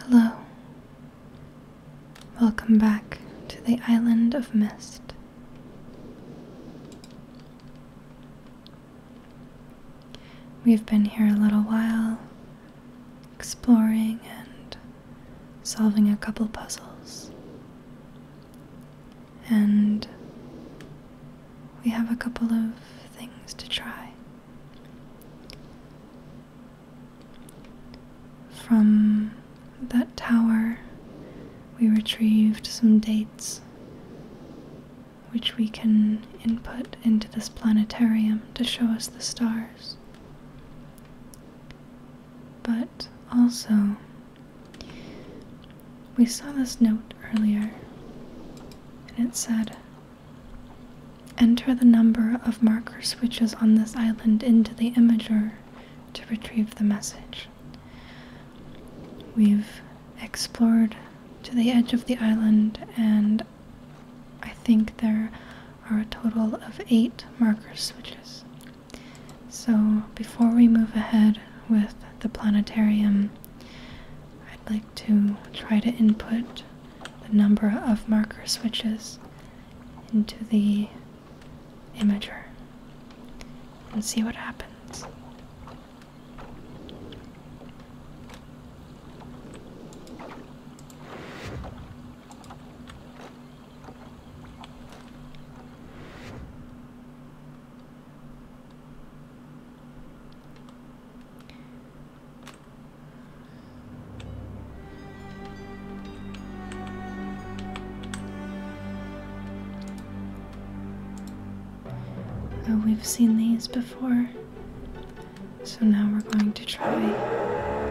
Hello. Welcome back to the Island of Mist. We've been here a little while, exploring and solving a couple puzzles and we have a couple of things to try. From that tower, we retrieved some dates which we can input into this planetarium to show us the stars. But also, we saw this note earlier, and it said Enter the number of marker switches on this island into the imager to retrieve the message. We've explored to the edge of the island, and I think there are a total of eight marker switches. So, before we move ahead with the planetarium, I'd like to try to input the number of marker switches into the imager and see what happens. Oh, we've seen these before. So now we're going to try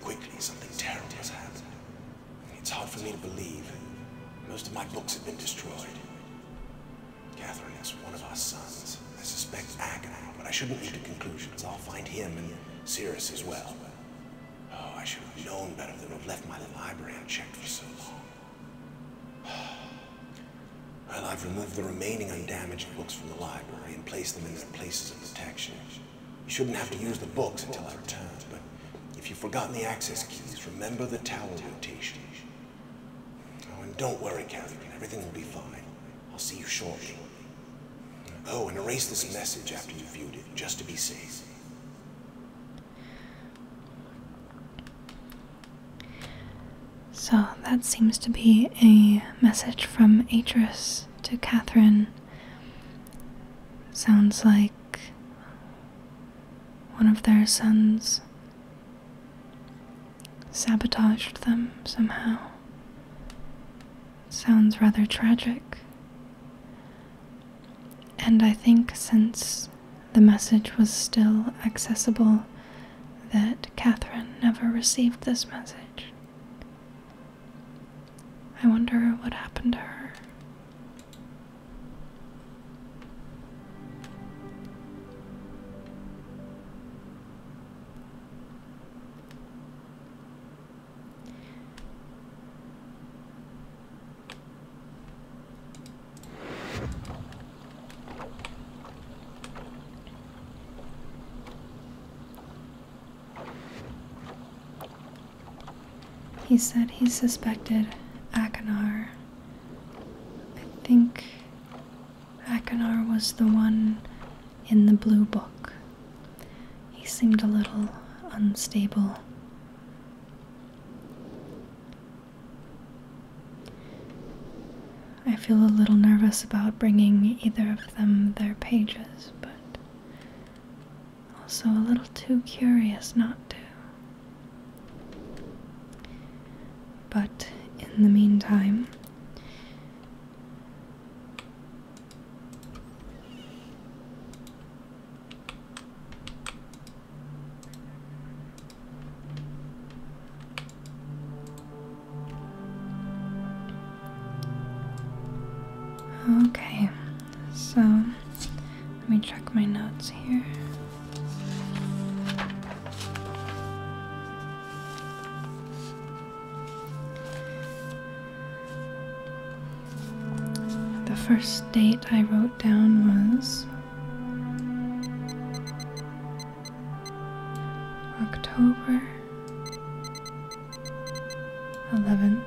quickly, something terrible has happened. It's hard for me to believe. Most of my books have been destroyed. Catherine is one of our sons. I suspect Agamemnon, but I shouldn't leap to conclusions. I'll find him and Cirrus as well. Oh, I should have known better than to have left my library unchecked for so long. Well, I've removed the remaining undamaged books from the library and placed them in the places of protection. You shouldn't have to use the books until I return, but if you've forgotten the access keys, remember the tower rotation. Oh, and don't worry, Catherine. Everything will be fine. I'll see you shortly. Oh, and erase this message after you've viewed it, just to be safe. So that seems to be a message from Atris to Catherine Sounds like one of their sons sabotaged them somehow. Sounds rather tragic. And I think since the message was still accessible, that Catherine never received this message. I wonder what happened to her. He said he suspected Akinar. I think Akinar was the one in the blue book. He seemed a little unstable. I feel a little nervous about bringing either of them their pages, but also, a little too curious not to. But in the meantime, Okay, so let me check my notes here. The first date I wrote down was October 11th.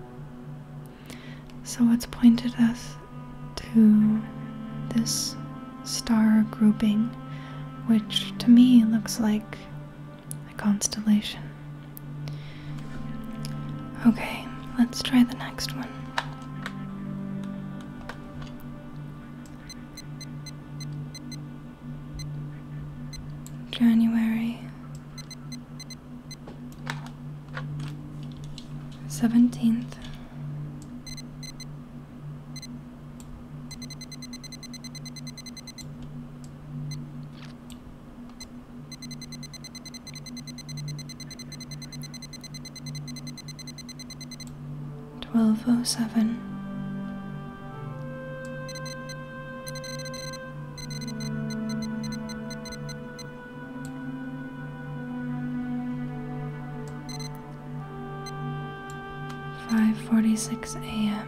So it's pointed us to this star grouping, which to me looks like a constellation. Okay, let's try the next one. January Seventeenth. Twelve oh seven. Five forty six AM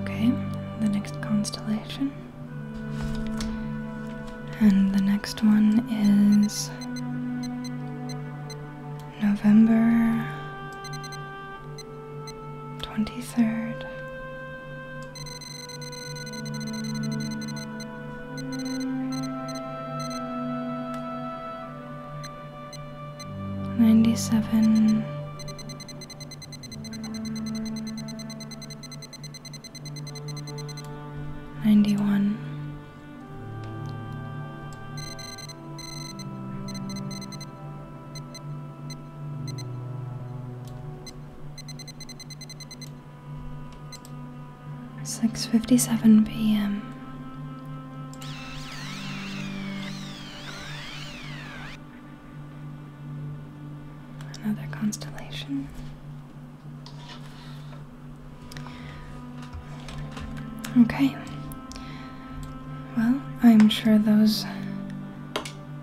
Okay, the next constellation. And the next one is November 23rd. Ninety seven 91 Six fifty seven PM Another constellation. Okay. Well, I'm sure those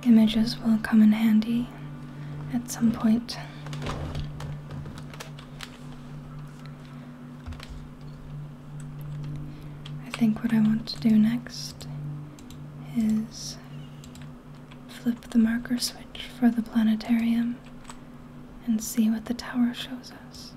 images will come in handy at some point. I think what I want to do next is flip the marker switch for the planetarium, and see what the tower shows us.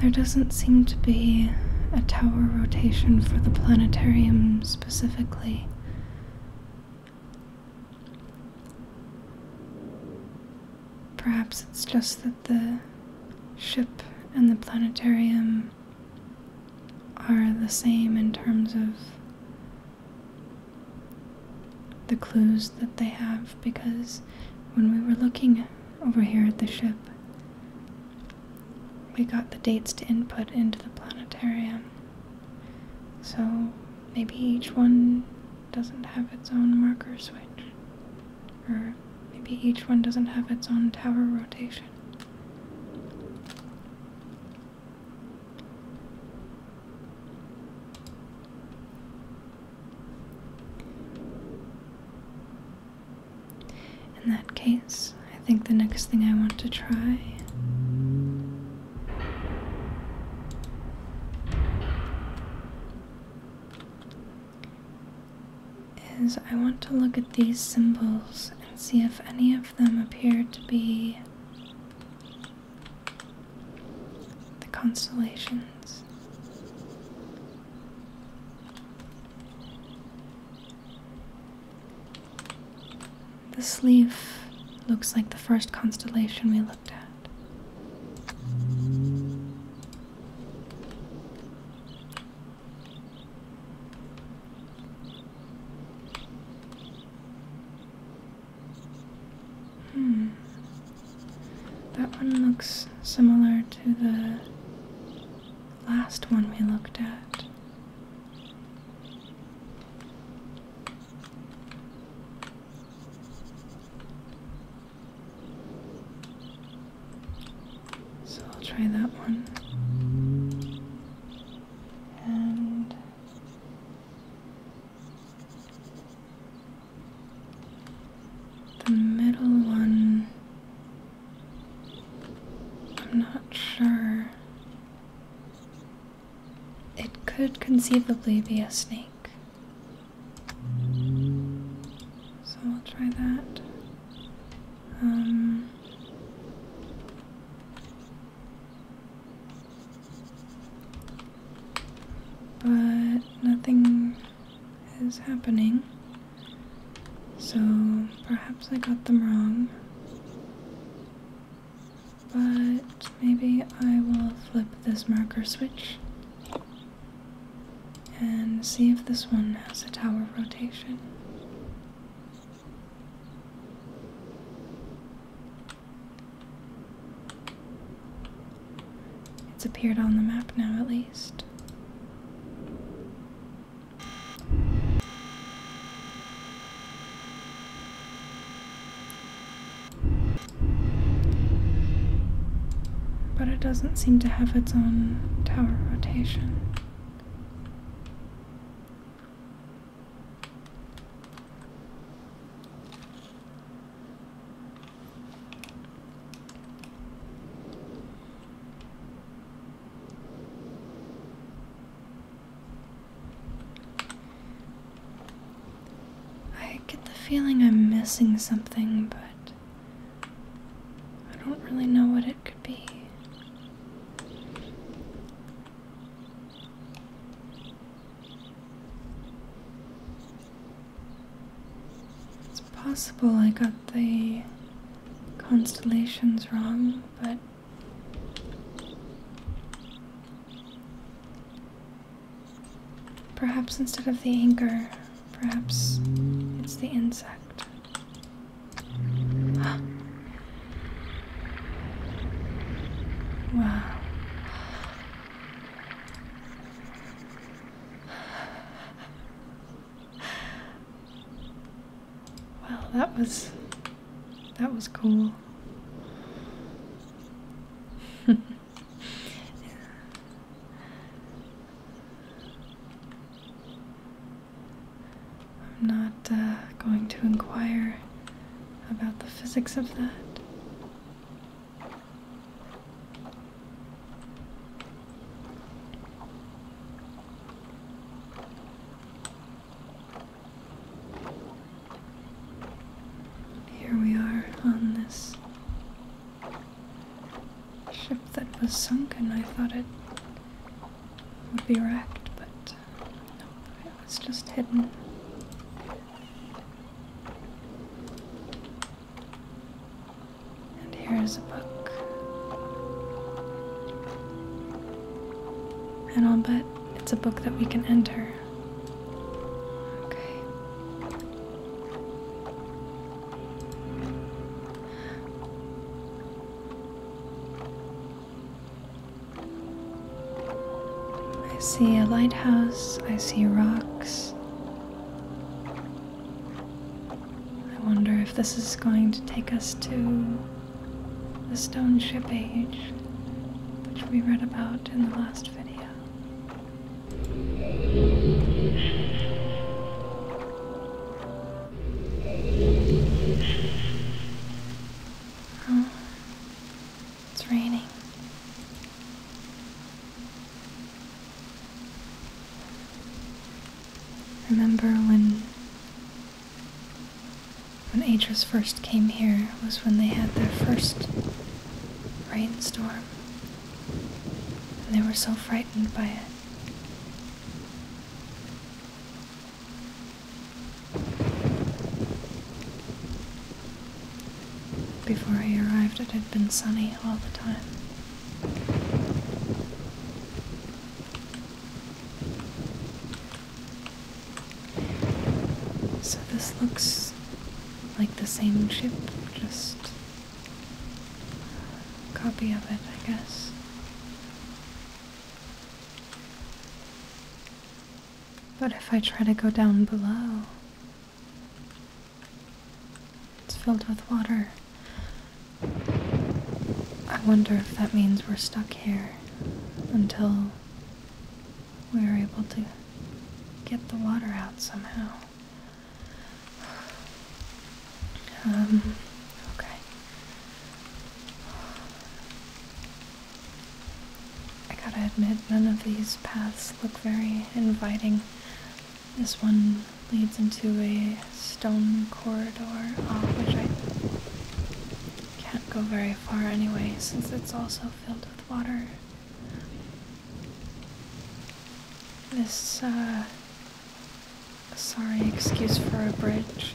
There doesn't seem to be a tower rotation for the planetarium's specifically. Perhaps it's just that the ship and the planetarium are the same in terms of the clues that they have because when we were looking over here at the ship, we got the dates to input into the planetarium. So maybe each one doesn't have its own marker switch. Or maybe each one doesn't have its own tower rotation. In that case, I think the next thing I want to try is I want to look at these symbols and see if any of them appear to be the constellations. This leaf looks like the first constellation we looked at. Hmm. That one looks similar to the last one we looked at. So I'll try that one. And the middle one I'm not sure. It could conceivably be a snake. So I'll try that. Um, but nothing is happening. So perhaps I got them wrong. But maybe I will flip this marker switch and see if this one has a tower rotation. It's appeared on the map now, at least. But it doesn't seem to have its own tower rotation. I get the feeling I'm missing something, but I don't really know what it could be. It's possible I got the constellations wrong, but Perhaps instead of the anchor, perhaps it's the insect. wow. Well, that was that was cool. I'm not uh, going to inquire about the physics of that. Here we are on this ship that was sunk, and I thought it would be wrecked, but nope, it was just hidden. And here is a book. And I'll bet it's a book that we can enter. I see a lighthouse, I see rocks. I wonder if this is going to take us to the stone ship age, which we read about in the last video. Oh, it's raining. Remember when when Atris first came here was when they had their first rainstorm. And they were so frightened by it. Before I arrived, it had been sunny all the time. So this looks like the same ship, just a copy of it, I guess. But if I try to go down below, it's filled with water. I wonder if that means we're stuck here until we're able to get the water out somehow. Um, okay. I gotta admit, none of these paths look very inviting. This one leads into a stone corridor, uh, which I can't go very far anyway since it's also filled with water. This, uh, sorry excuse for a bridge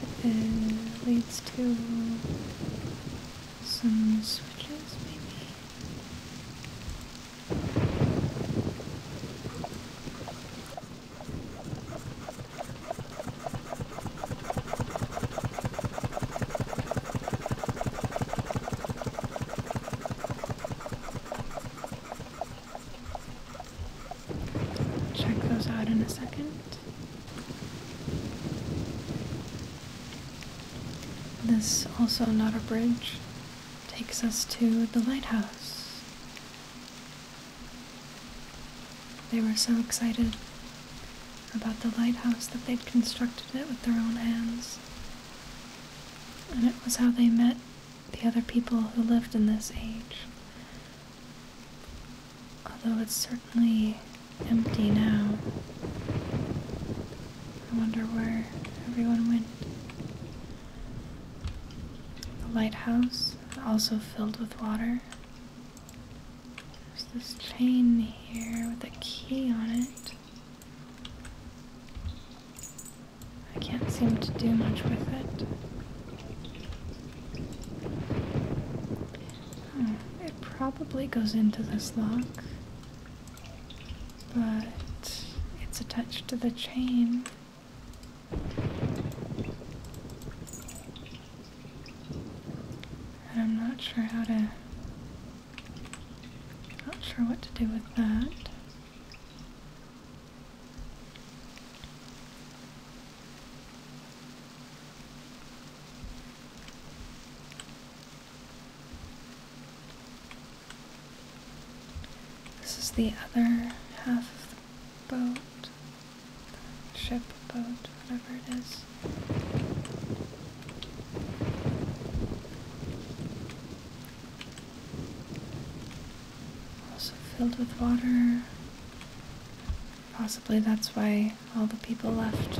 leads to some switches, maybe? Check those out in a second. This, also not a bridge, takes us to the lighthouse. They were so excited about the lighthouse that they'd constructed it with their own hands. And it was how they met the other people who lived in this age. Although it's certainly empty now. I wonder where everyone went. The lighthouse, also filled with water, there's this chain here with a key on it. I can't seem to do much with it. Hmm, it probably goes into this lock, but it's attached to the chain. I'm not sure how to, not sure what to do with that. This is the other half of the boat ship, boat, whatever it is. Also filled with water. Possibly that's why all the people left.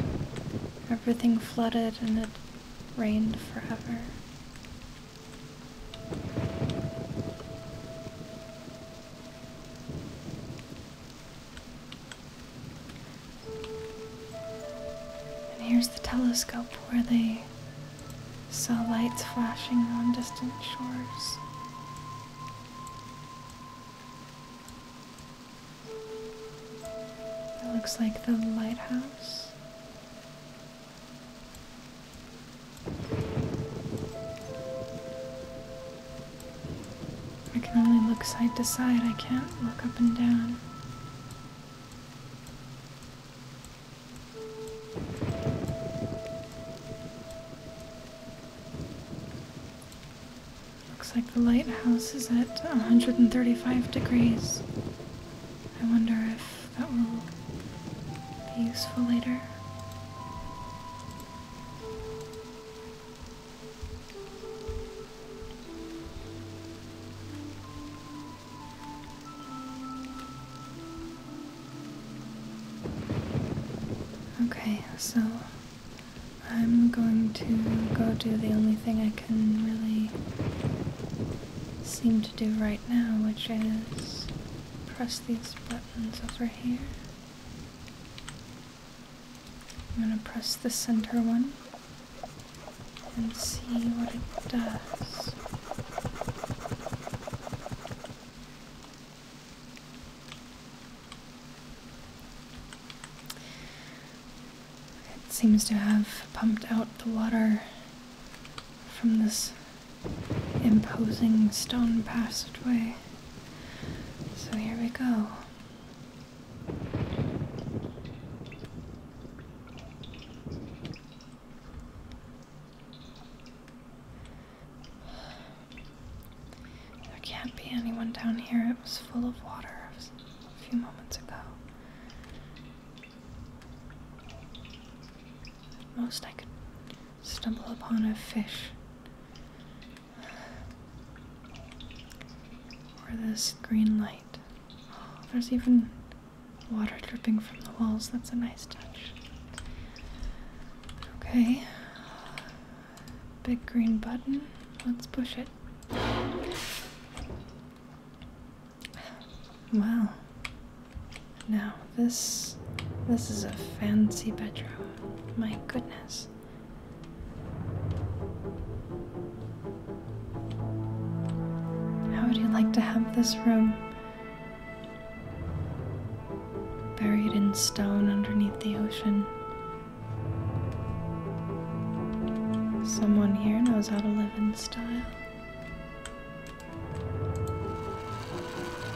Everything flooded and it rained forever. And here's the telescope where they saw lights flashing on distant shores. It looks like the lighthouse. I can only look side to side, I can't look up and down. Looks like the lighthouse is at 135 degrees. I wonder if that will be useful later. Okay, so I'm going to go do the only thing I can really seem to do right now, which is press these buttons over here. I'm going to press the center one and see what it does. It seems to have pumped out the water from this imposing stone passageway. So here we go. There can't be anyone down here. It was full of water a few moments ago. most I could stumble upon a fish. Or this green light. Oh, there's even water dripping from the walls. That's a nice touch. Okay. Big green button. Let's push it. Wow. Now this this is a fancy bedroom. My goodness. How would you like to have this room? Buried in stone underneath the ocean. Someone here knows how to live in style.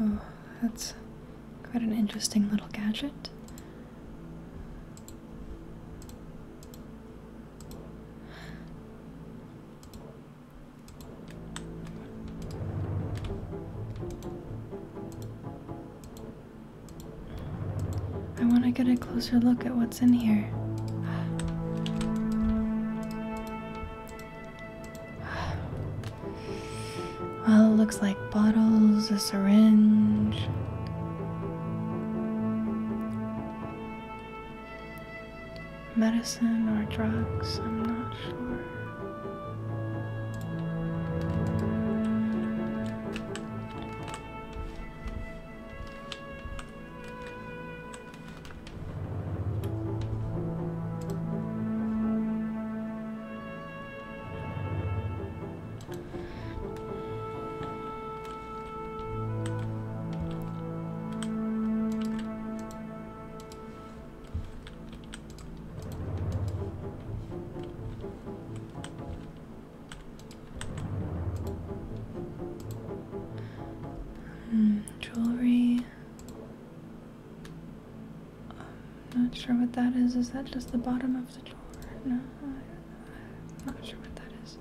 Oh, that's quite an interesting little gadget. I want to get a closer look at what's in here. Well, it looks like bottles, a syringe medicine or drugs, I'm not sure jewelry. I'm not sure what that is. Is that just the bottom of the drawer? No, I'm not sure what that is.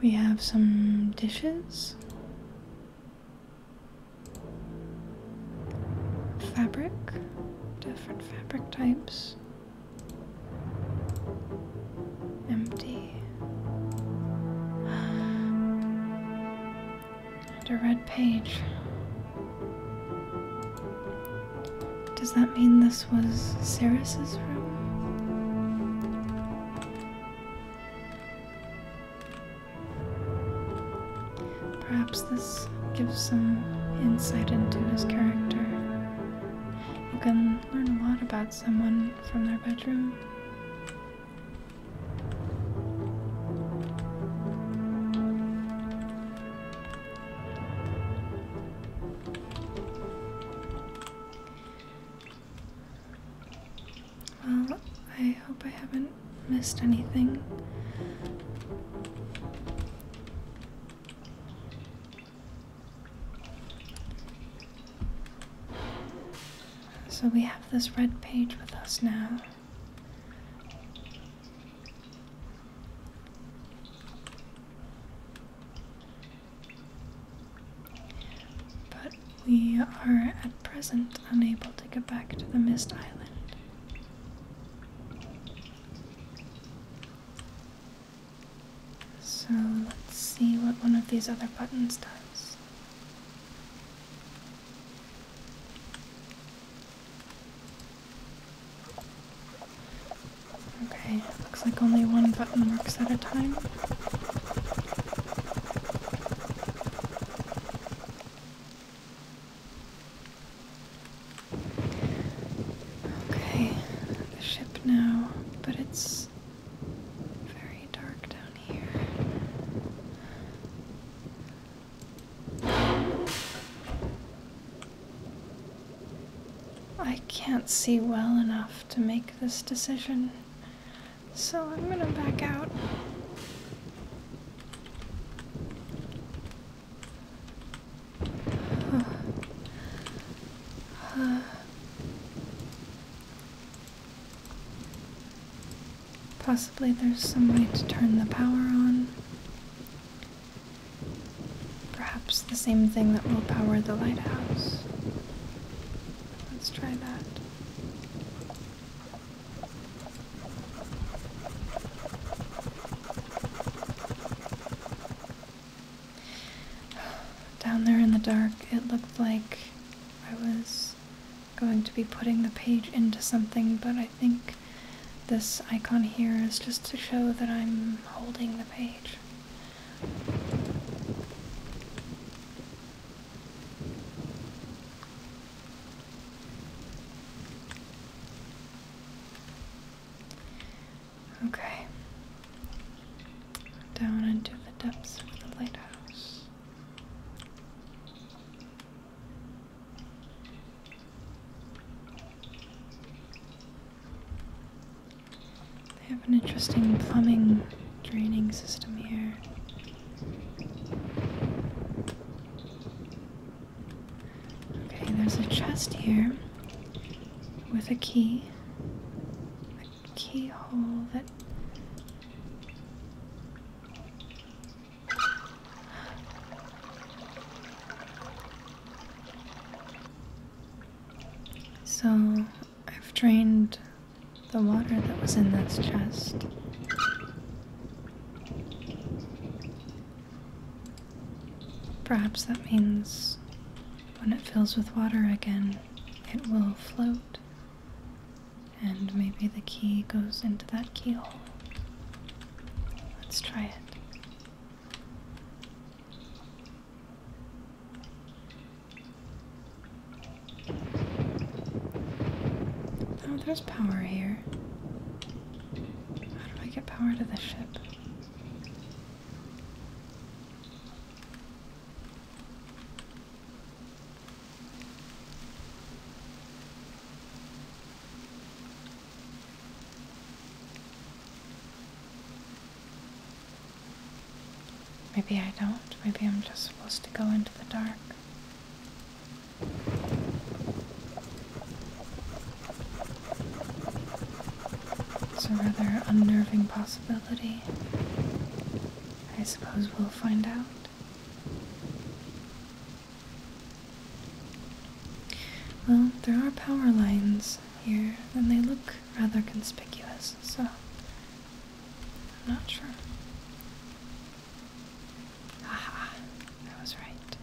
We have some dishes fabric, different fabric types. Empty. And a red page. Does that mean this was Cyrus's room? Perhaps this gives some insight into his character. You can learn a lot about someone from their bedroom. Well, I hope I haven't missed anything. So we have this red page with us now. But we are at present unable to get back to the Mist Island. So let's see what one of these other buttons does. Okay, looks like only one button works at a time. Okay, the ship now, but it's very dark down here. I can't see well enough to make this decision. So I'm gonna back out. possibly there's some way to turn the power on. Perhaps the same thing that will power the lighthouse. Let's try that. Down there in the dark, it looked like I was going to be putting the page into something, but I think this icon here is just to show that I'm holding the page. Okay, down into the depths of the lighthouse. They have an interesting plumbing draining system here. Okay, there's a chest here with a key. A keyhole that. So I've drained the water that was in this chest. Perhaps that means when it fills with water again, it will float. And maybe the key goes into that keyhole. Let's try it. Oh, there's power here. How do I get power to the ship? Maybe I don't. Maybe I'm just supposed to go into the dark. It's a rather unnerving possibility. I suppose we'll find out. Well, there are power lines here, and they look rather conspicuous, so I'm not sure. Aha, I was right.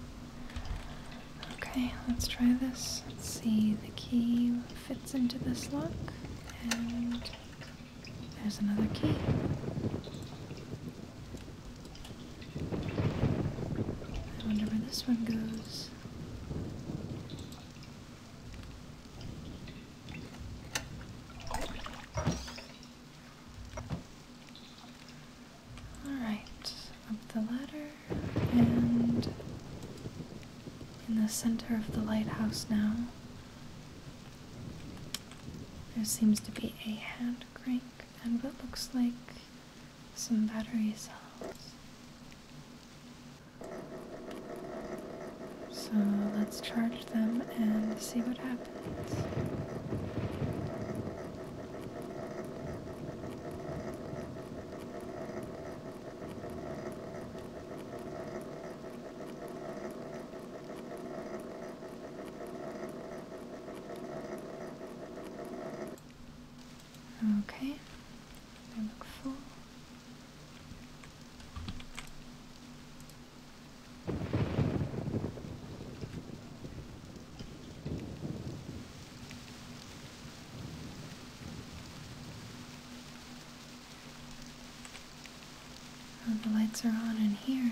Okay, let's try this. Let's see, the key fits into this lock, and there's another key. I wonder where this one goes. Alright, up the ladder and in the center of the lighthouse now. There seems to be a hand crank and what looks like some battery cells. So let's charge them and see what happens. Okay, look full. Oh, the lights are on in here.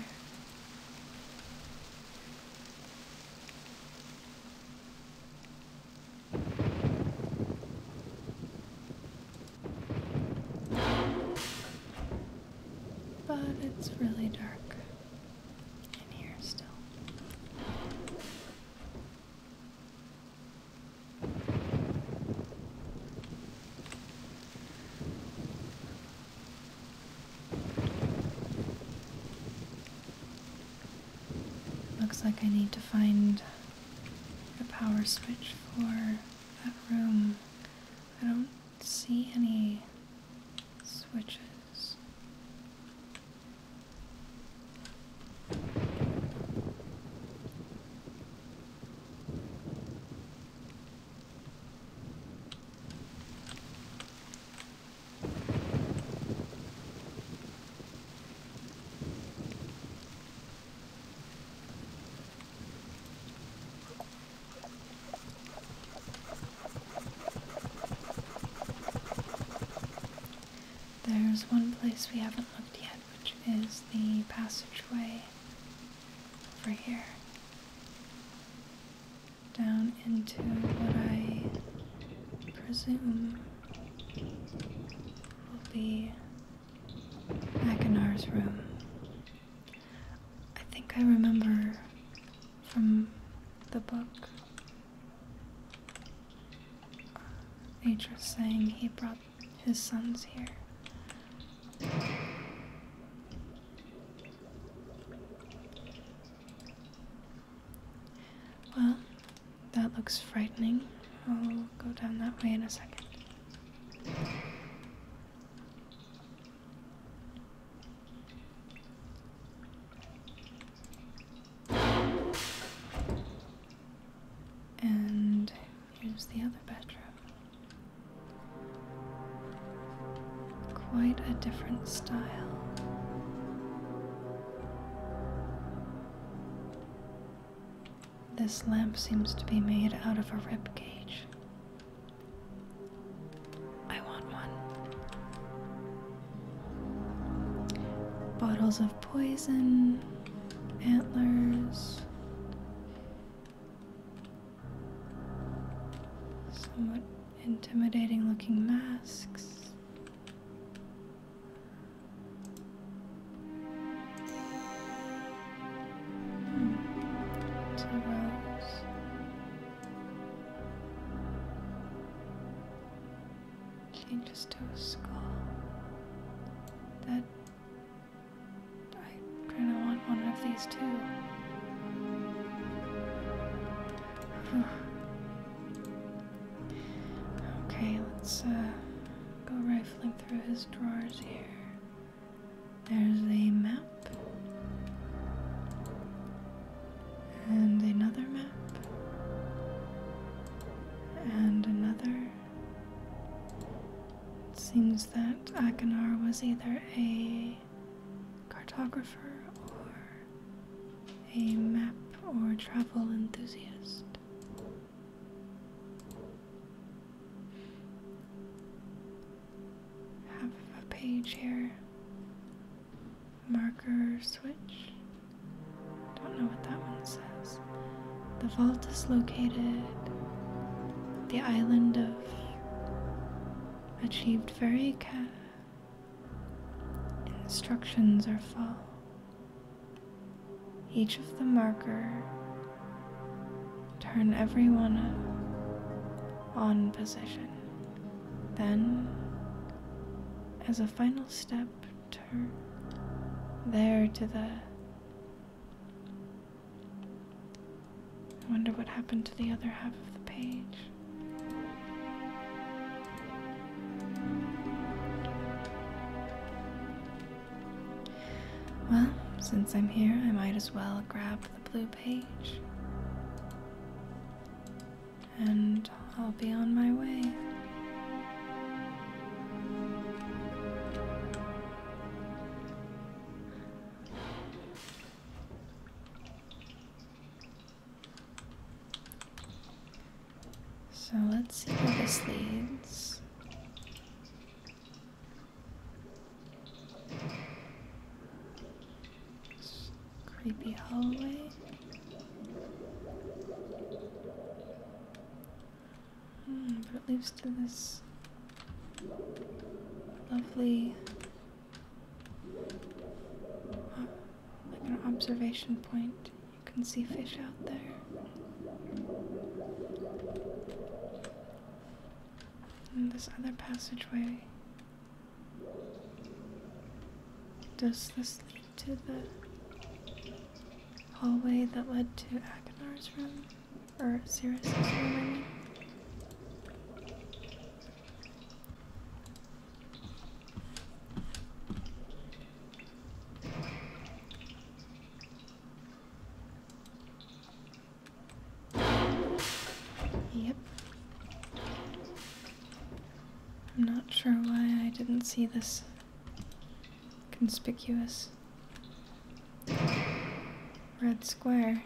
But it's really dark in here still. Looks like I need to find a power switch for that room I don't see any switches. There's one place we haven't looked yet, which is the passageway over here. Down into what I presume will be Akinar's room. I think I remember from the book Nature saying he brought his sons here. Well, that looks frightening. I'll go down that way in a second. And here's the other bedroom. Quite a different style. This lamp seems to be made out of a rib cage. I want one. Bottles of poison, antlers, somewhat intimidating looking masks to the rose. Changes to a skull that I kind of want one of these two. Okay, let's uh, go rifling through his drawers here. There's a map. And another map. And another. It seems that Akinar was either a cartographer or a map or travel enthusiast. Have a page here. Marker switch. Don't know what that one says. The vault is located the island of achieved very care. instructions are full. Each of the marker Turn everyone on position. Then, as a final step, turn there to the. I wonder what happened to the other half of the page. Well, since I'm here, I might as well grab the blue page. And I'll be on my way. So let's see where this leads creepy hallway. Hmm, but it leads to this lovely like an observation point. You can see fish out there this other passageway. Does this lead to the hallway that led to Agnar's room? Or Sirius's room, Yep. I'm not sure why I didn't see this conspicuous red square.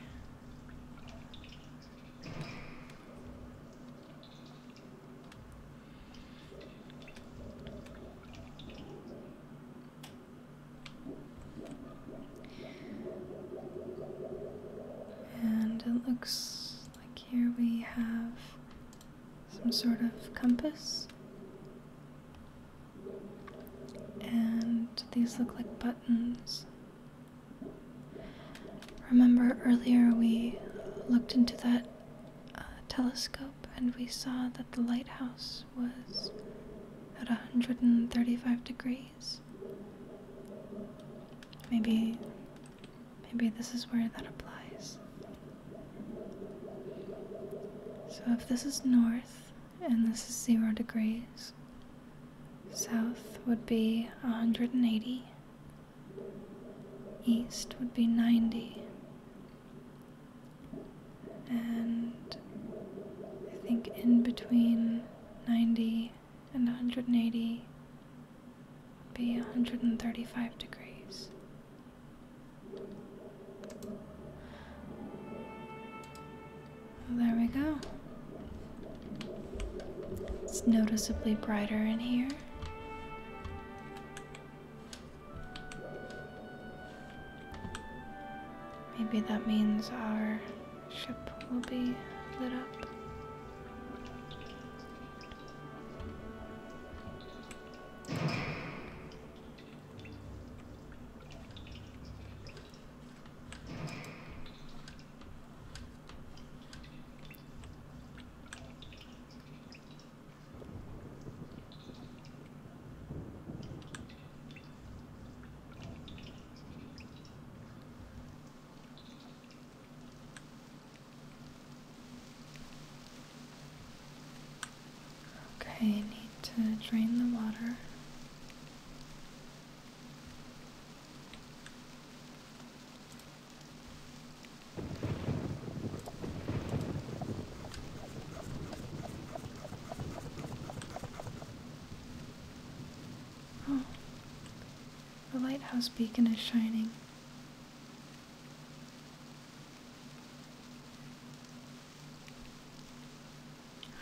And it looks like here we have some sort of compass. And these look like buttons. Remember earlier we looked into that uh, telescope and we saw that the lighthouse was at 135 degrees. Maybe maybe this is where that applies. So if this is north and this is 0 degrees, south would be 180, east would be 90, and I think in between 90 and 180 be 135 degrees. There we go. It's noticeably brighter in here. Maybe that means our ship will be lit up. Okay, need to drain the water the lighthouse beacon is shining.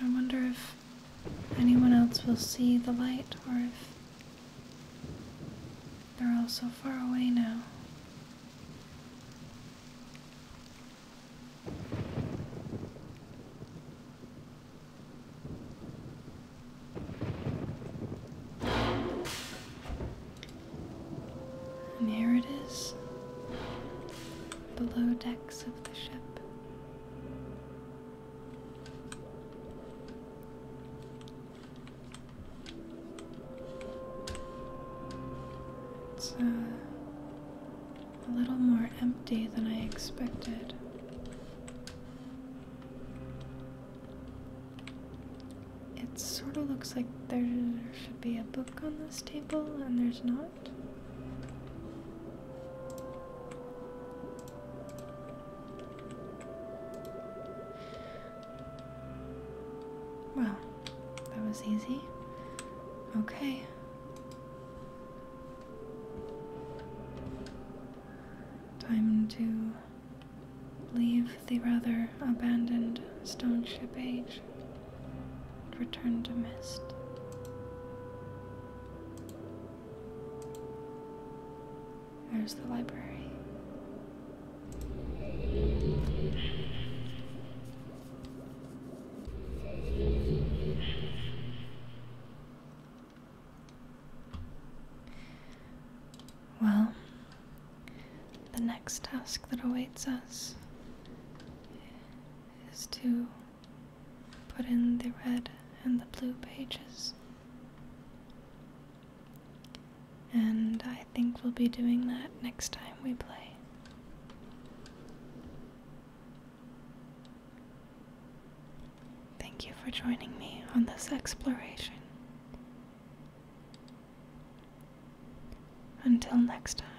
I wonder if anyone else will see the light or if they're all so far away now. And here it is, below decks of the ship. It's uh, a little more empty than I expected. It sort of looks like there should be a book on this table, and there's not. Well, that was easy. Okay. Time to leave the rather abandoned stone ship age and return to mist. There's the library. Well, the next task that awaits us is to put in the red and the blue pages. And I think we'll be doing that next time we play. Thank you for joining me on this exploration. Until next time.